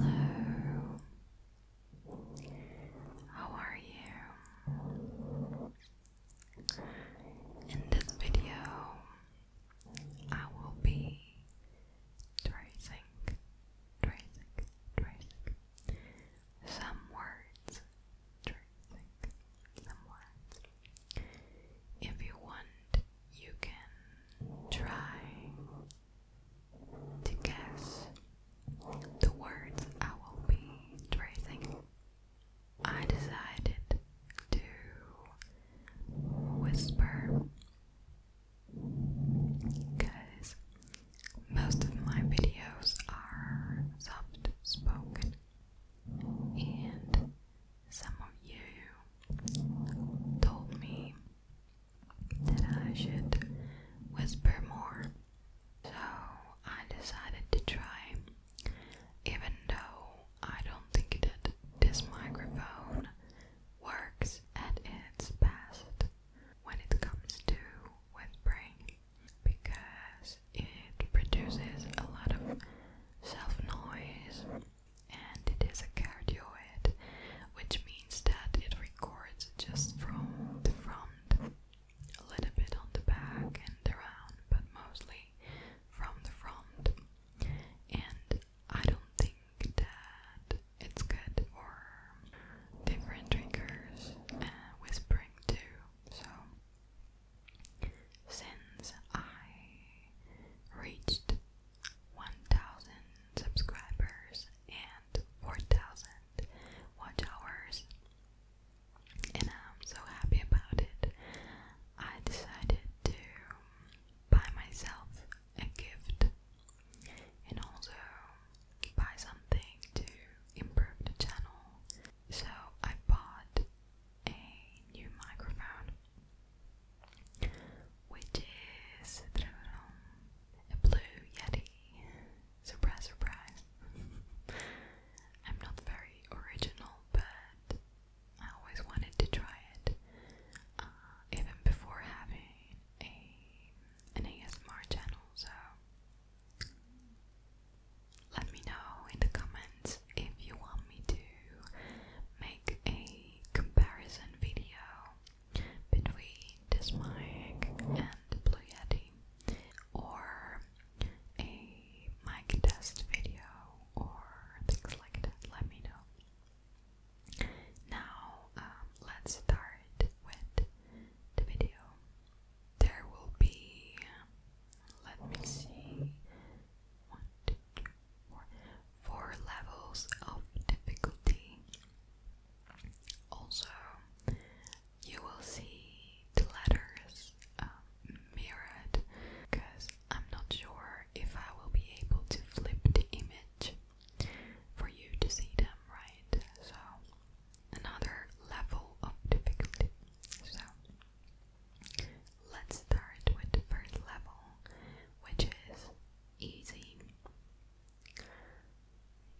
Hello, how are you? In this video, I will be tracing, tracing, tracing some words, some words. If you want, you can try to guess the words I will be tracing. I decided to whisper because most of my videos are soft spoken, and some of you told me that I should whisper more. So I decided to try, even though I don't think that this microphone works at its best when it comes to whispering because it produces a lot of self noise and it is a cardioid, which means that it records just from the front, a little bit on the back and around, but mostly from the front. And I don't think that it's good for different drinkers and uh, whispering too. So, since I reached 1,000 subscribers and 4,000 watch hours, and I'm so happy about it. I decided to buy myself a gift and also buy something to improve the channel. So I bought a new microphone which is a blue Yeti. Surprise, surprise. I'm not very original, but I always wanted to try it, uh, even before having a an ASMR channel. So let me know in the comments if you want me to make a comparison video between this mic and Blue Yeti, or a mic test video, or things like that, let me know. Now, um, let's start with the video. There will be, let me see, one, two, three, four, levels of difficulty. Also, you will see the letters um, mirrored because I'm not sure if I will be able to flip the image for you to see them, right? So, another level of difficulty. So, let's start with the first level, which is easy.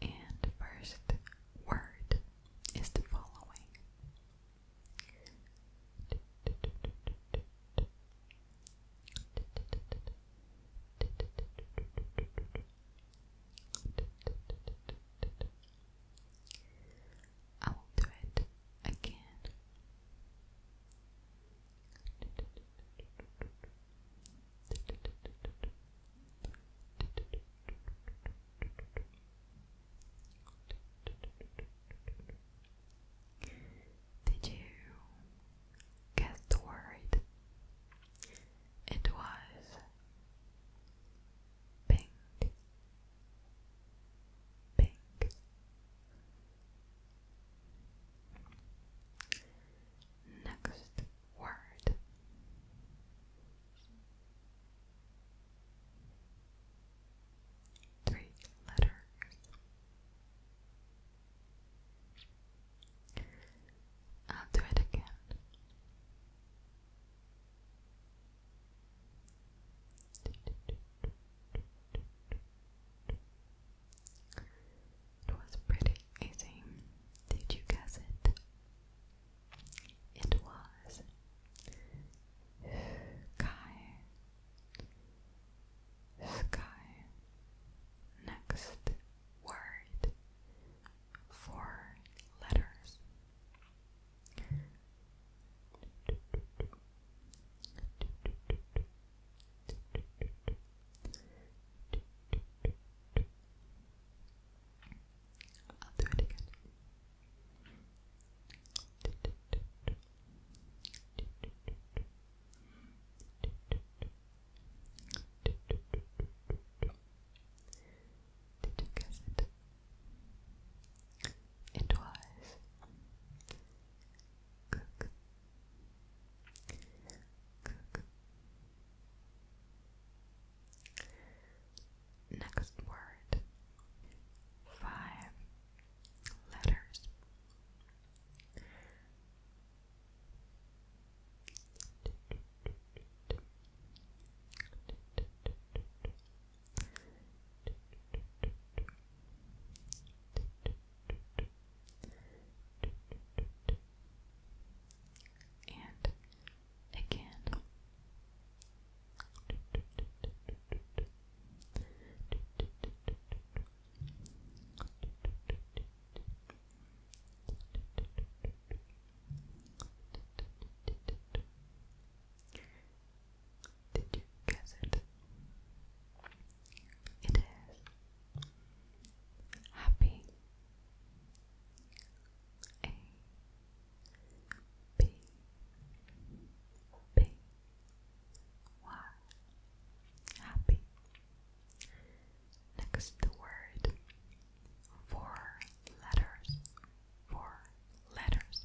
And first word is the following I will do it again. Did you guess the It was pink, pink, Next word. Three letters. I'll do it again. It was pretty easy. Did you guess it? It was sky. Sky. Next word. Four letters. I'll do it again. Did you guess it? It was cook, cook. Next word five letters and again. Did you guess it? It is happy A B B Y happy next the word four letters four letters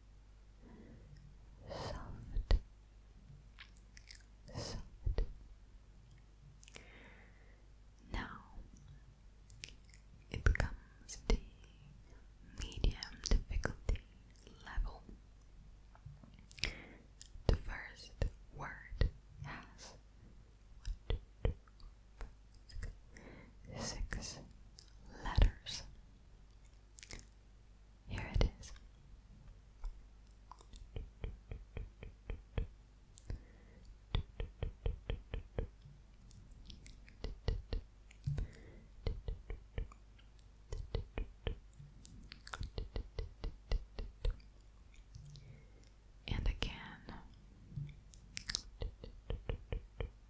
soft, soft. Now it becomes the medium difficulty level. The first word has six letters. Here it is. And again.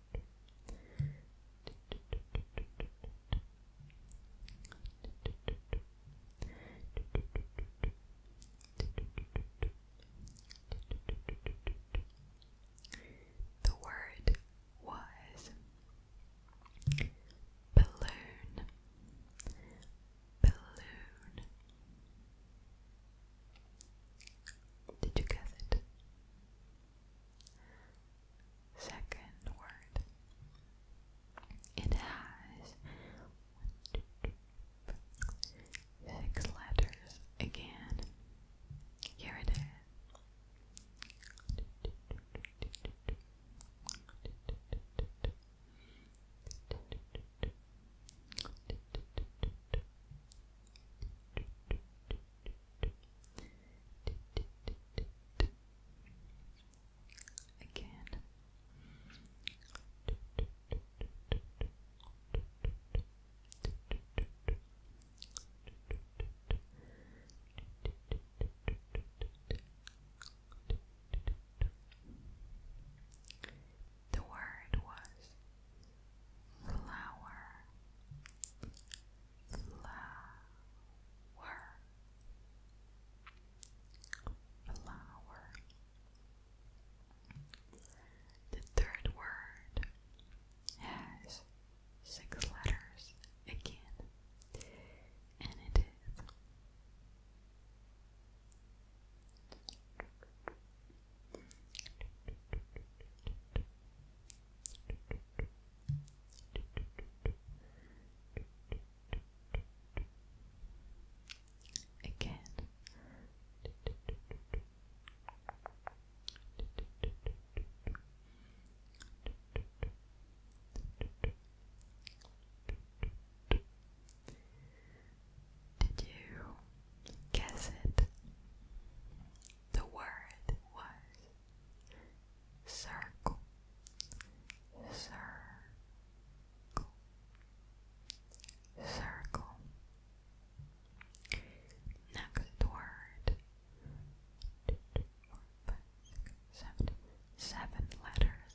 The word was balloon, balloon. Did you guess it? second word. It has one, two, three, four, six letters again. Here it is. Again. The word was flower, flower flower the third word has six letters again and it is Again. Did you guess it? The word was circle, circle, circle. Next word. Two, two, four, five, six, seven, seven letters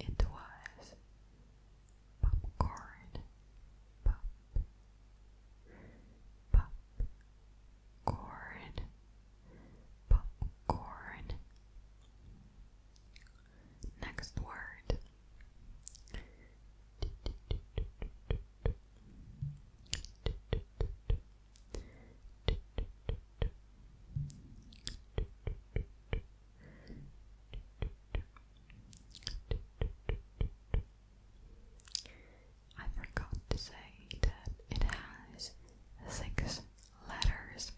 It was popcorn, popcorn, popcorn. Next word. I forgot to say that it has six letters.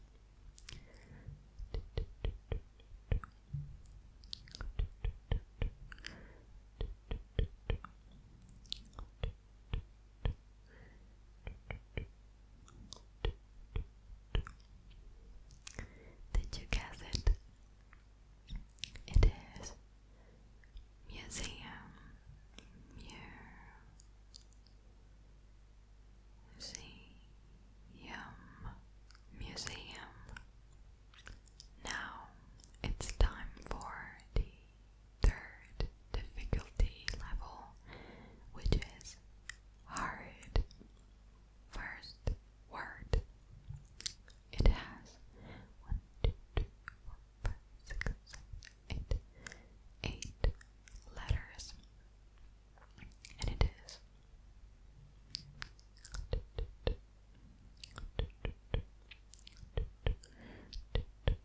Did you guess it? It is museum. Museum. Museum. Now it's time for the third difficulty level, which is hard. First word. It has 1, 2, 3, 4, 5, 6, 7, 8 letters. And it is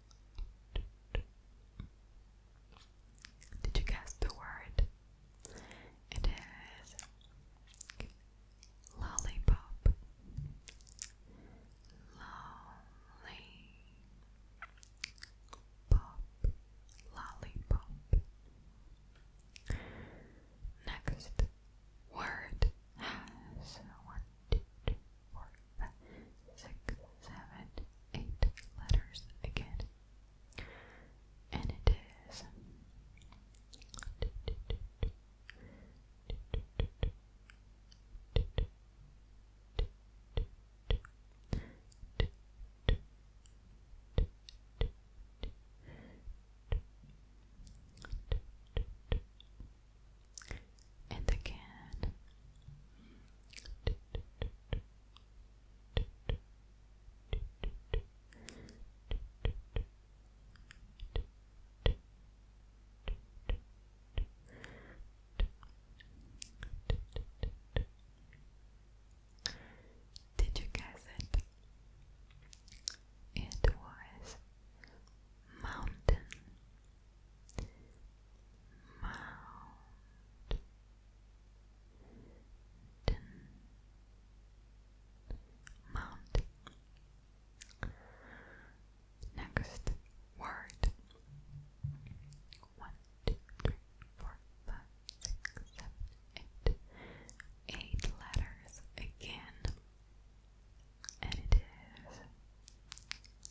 Did you guess the word? It is lollipop. Lollipop. Lollipop. Next word has one, two, three, four, Six, seven, eight letters again. And it is and again. Did you guess it? It was mountain. Mountain Mountain Next word one, two, three, four, five, six, seven, eight. Eight letters again, and it is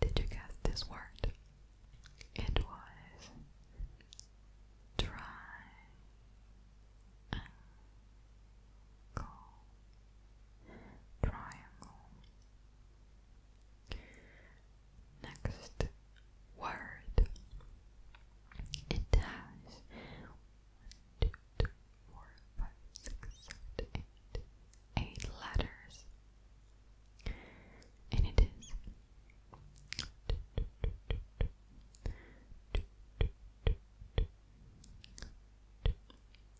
Did you guess this word? It was triangle triangle Next word. It has one, two, three, four, five, six, seven, eight, eight letters, and it is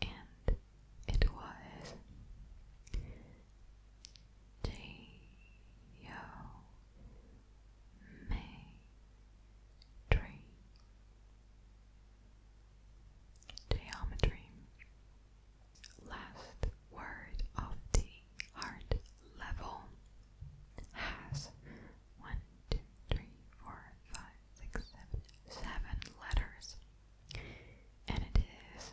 and it was Dio Geometry Last word of the art level has one, two, three, four, five, six, seven, seven letters. And it is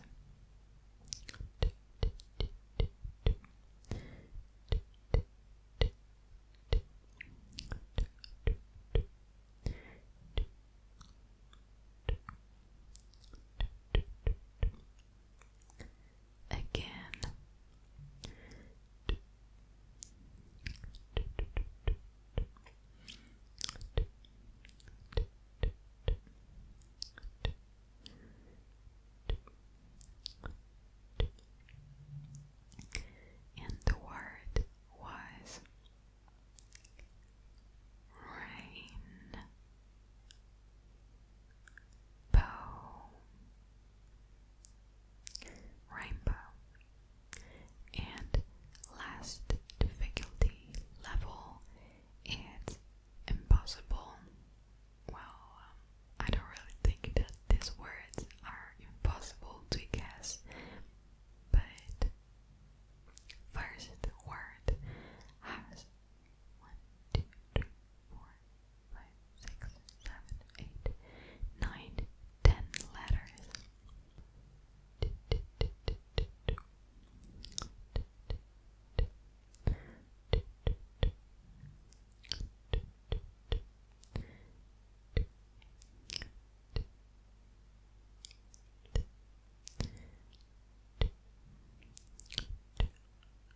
again. And the word was rain, rainbow. And last difficulty level, it's impossible. Well, um, I don't really think that these words are impossible to guess, but first word has one, two, three, four, five, six, seven, eight, nine, ten letters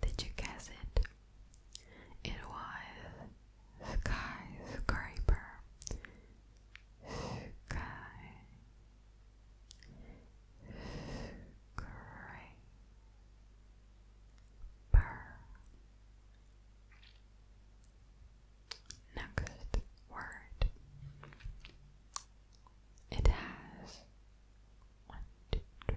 did you guess it? It was skyscraper. Sky scraper. Next word. It has one, two, three,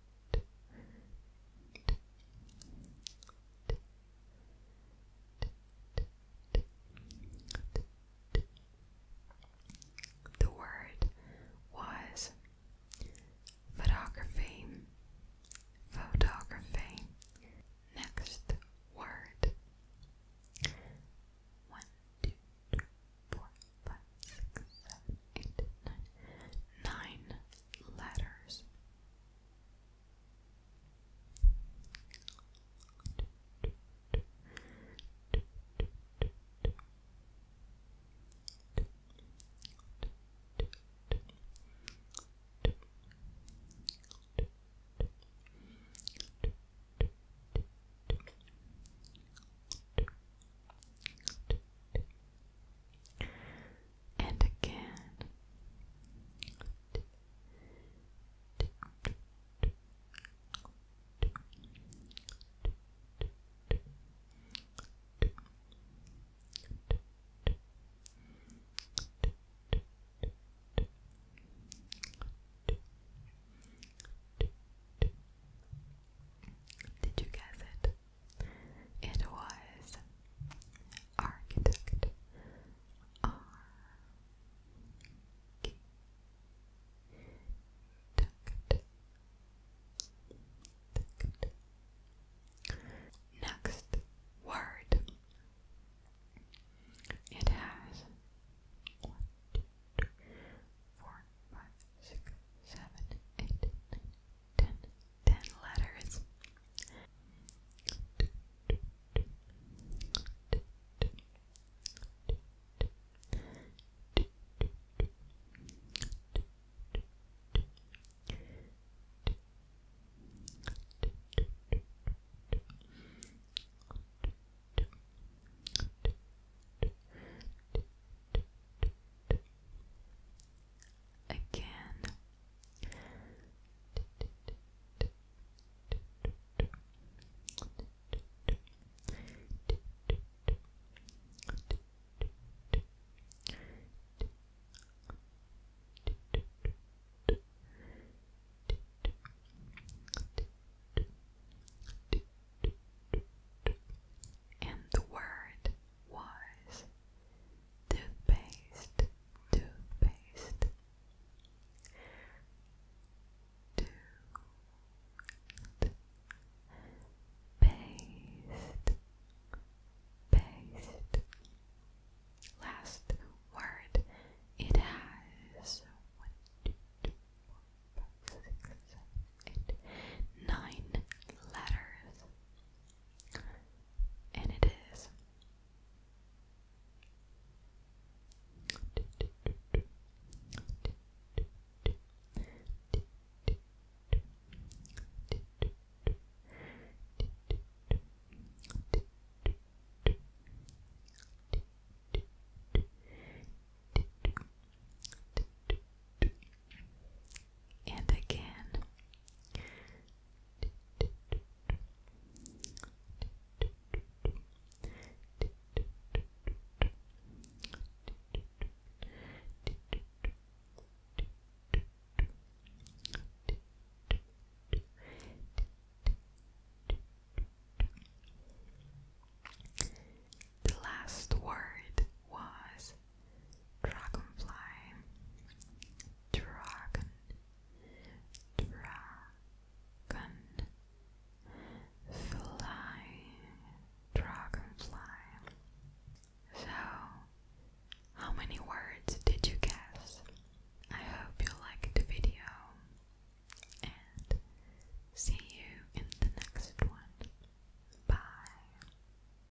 The word was photography, photography. Next word one, two, three, four, five, six, seven, eight, nine, nine letters and again. Did you guess it? It was architect R K Next word. It has one, two, three, four, five, six, seven, eight, nine, ten, ten letters again. And the word was toothpaste, toothpaste, toothpaste, paste. Last word. It has one, two, three, four, five, six, seven, eight, nine letters. And it is and again. The last word was dragonfly, dragon, dragon, dragonfly. So, how many words did you guess? I hope you liked the video and see you in the next one. Bye.